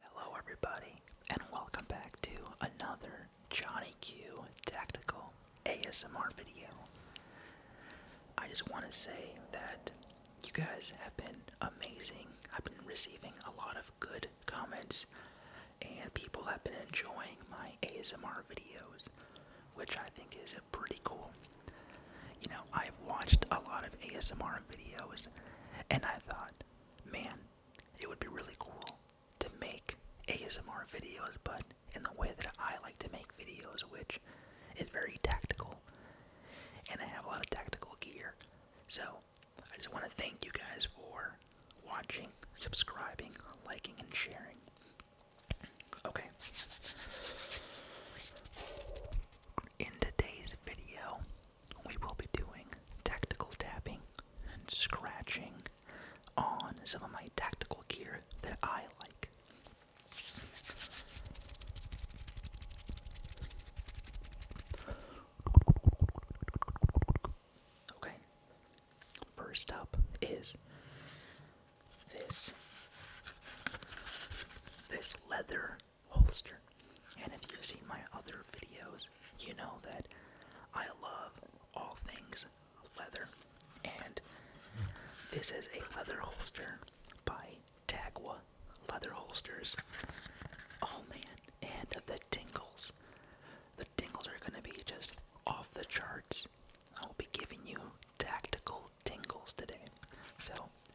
Hello, everybody, and welcome back to another Johnny Q Tactical ASMR video. I just want to say that you guys have been amazing. I've been receiving a lot of good comments, and people have been enjoying my ASMR videos, which I think is pretty cool. You know, I've watched a lot of ASMR videos, and I thought, man, it would be really cool to make ASMR videos, but in the way that I like to make videos, which is very tactical. And I have a lot of tactical gear. So I just want to thank you guys for watching, subscribing, liking, and sharing. Okay. In today's video, we will be doing tactical tapping and scratching on some of my tactical gear that I like. Okay, first up is this this leather holster. And if you've seen my other videos, you know that I love all things leather. And this is a leather holster by Tagua Leather Holsters. Oh man, and the tingles. The tingles are going to be just off the charts. I'll be giving you tactical tingles today. So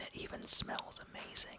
It even smells amazing.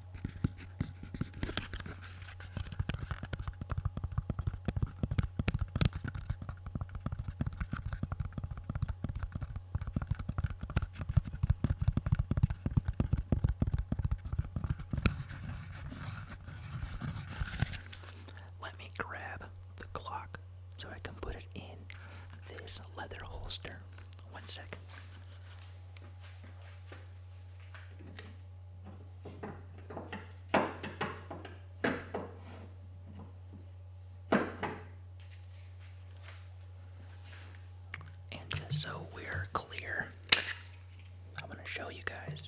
Let me grab the clock so I can put it in this leather holster. One second. And just so we're clear, I'm going to show you guys.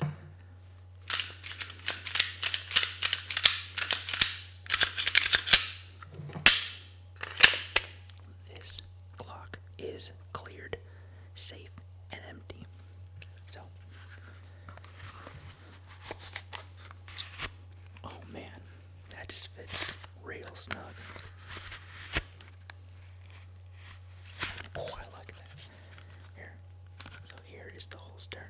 This clock is cleared, safe, and empty. So, oh man, that just fits real snug. Oh, I like that. Here, so here is the holster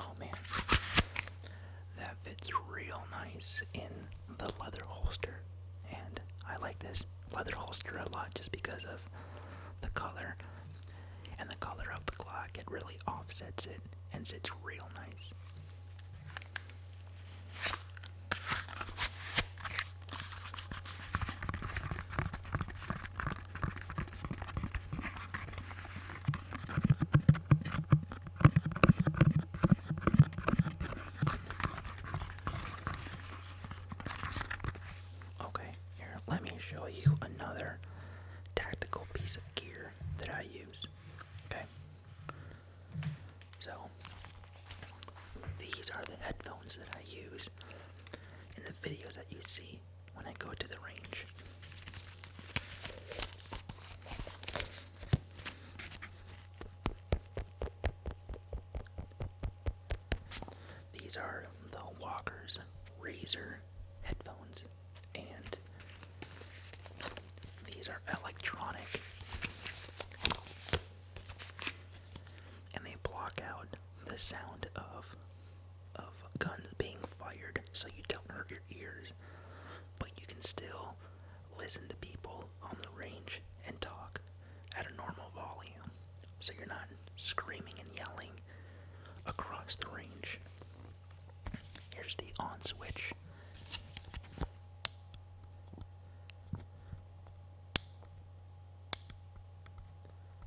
Oh man, that fits real nice in the leather holster, and I like this leather holster a lot just because of the color and the color of the clock. It really offsets it and sits real nice. Okay, here, let me show you another tactical piece of gear that I use. Okay, so these are the headphones that I use in the videos that you see when I go to the range. These are the Walker's Razor headphones, and these are electronic, and they block out the sound of of guns being fired so you don't hurt your ears, but you can still listen to people on the range and talk at a normal volume so you're not screaming and yelling across the range. Here's the on switch.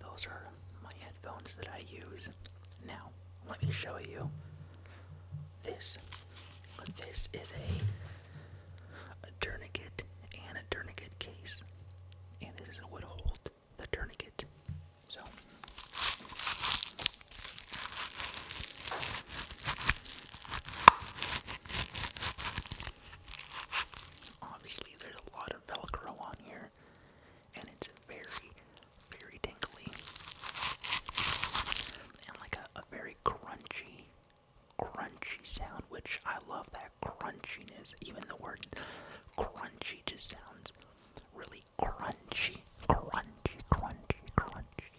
Those are my headphones that I use. Now, let me show you this. This is a, a tourniquet and a tourniquet case. And this is what holds the tourniquet. So Obviously, there's a lot of Velcro on here, and it's very, very tingly, and like a very crunchy, crunchy sound, which I love that crunchiness. Even the word crunchy just sounds really crunchy, crunchy, crunchy, crunchy.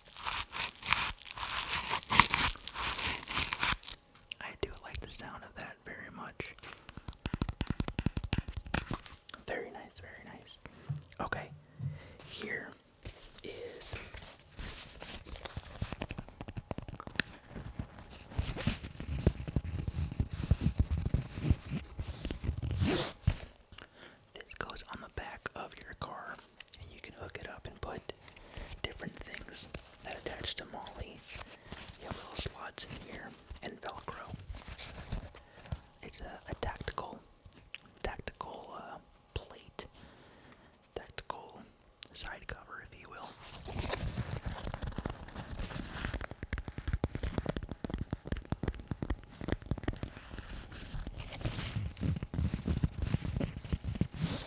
I do like the sound of that very much. Very nice, very nice. Okay, here is this goes on the back of your car and you can hook it up and put different things that attach to Molly. You have little slots in here and Velcro. It's a, a tactical, tactical uh, plate, tactical side cover, if you will.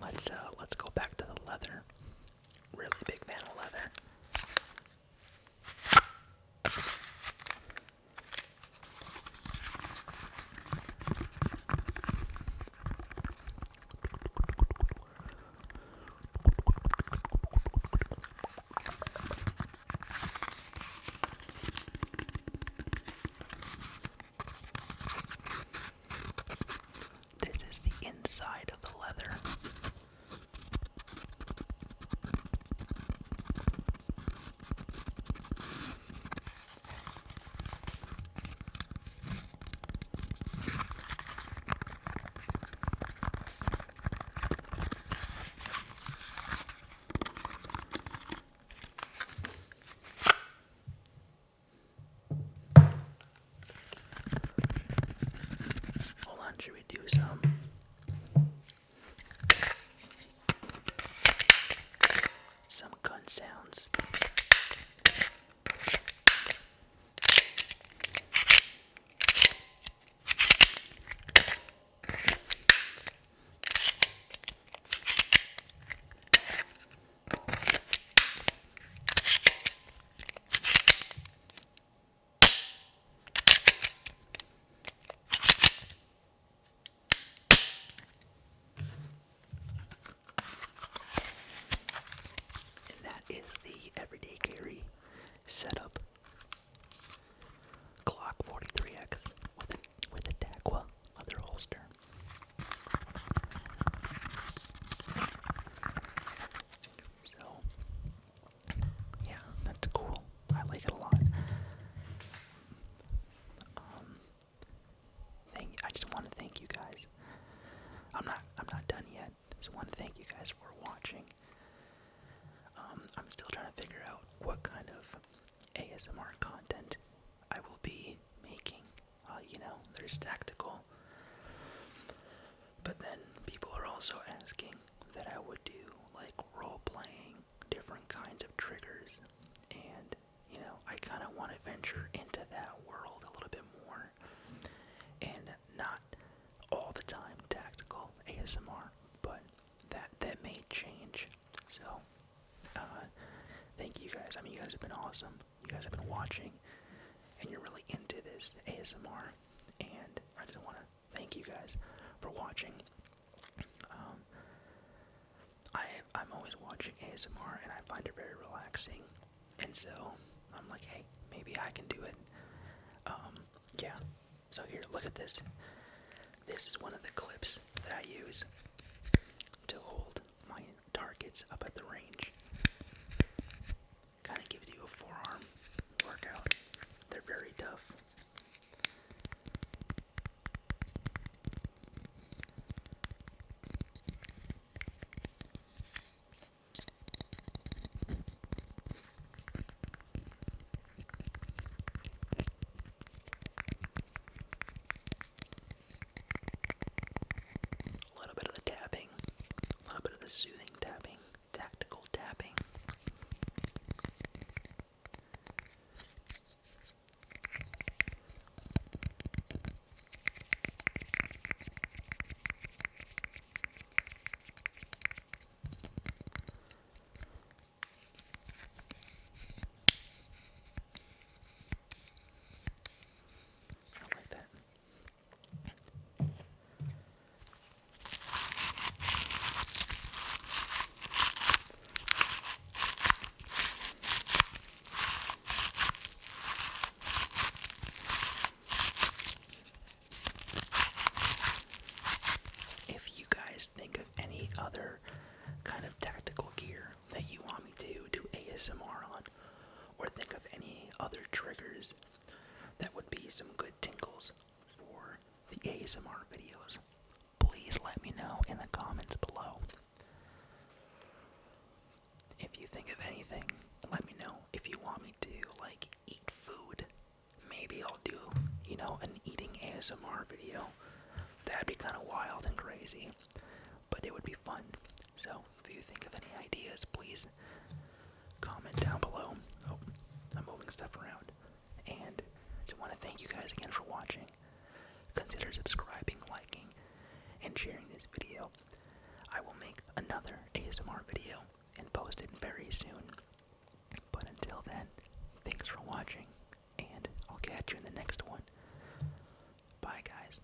Let's uh, let's go back to the leather. Really big fan of leather. This is the inside of the leather. Hold on, should we do some? Some gun sounds. And that is the everyday carry setup. Glock 43X with a, with a Daqua leather holster. So, yeah, that's cool. I like it a lot. Um, thank. I just want to thank you guys. I'm not. I'm not done yet. Just want to thank you guys for watching. Um, I'm still trying to figure out what kind of ASMR content I will be making. Uh, you know, there's tactical. But then people are also asking that I would do like role playing, different kinds of triggers, and you know, I kind of want to venture into that world a little bit more and not all the time tactical ASMR, but that that may change. So, uh, thank you guys. I mean, you guys have been awesome you guys have been watching and you're really into this ASMR. And I just want to thank you guys for watching. Um, I, I'm always watching ASMR and I find it very relaxing. And so I'm like, hey, maybe I can do it. Um, yeah. So here, look at this. This is one of the clips that I use to hold my targets up at the range kind of gives you a forearm workout. They're very tough. A little bit of the tapping, a little bit of the soothing tapping, tactical tapping. I like that. If you guys think of any other kind of tactical gear that you want me to do ASMR on, or think of any other triggers that would be some good tingles for the ASMR videos, please let me know in the comments below. If you think of anything, let me know. If you want me to, like, eat food, maybe I'll do, you know, an eating ASMR video. That'd be kind of wild and crazy, but it would be fun. So, if you think of any ideas, please comment down below. Oh, I'm moving stuff around. And so I want to thank you guys again for watching. Consider subscribing, liking, and sharing this video. I will make another ASMR video and post it very soon. But until then, thanks for watching, and I'll catch you in the next one. Bye, guys.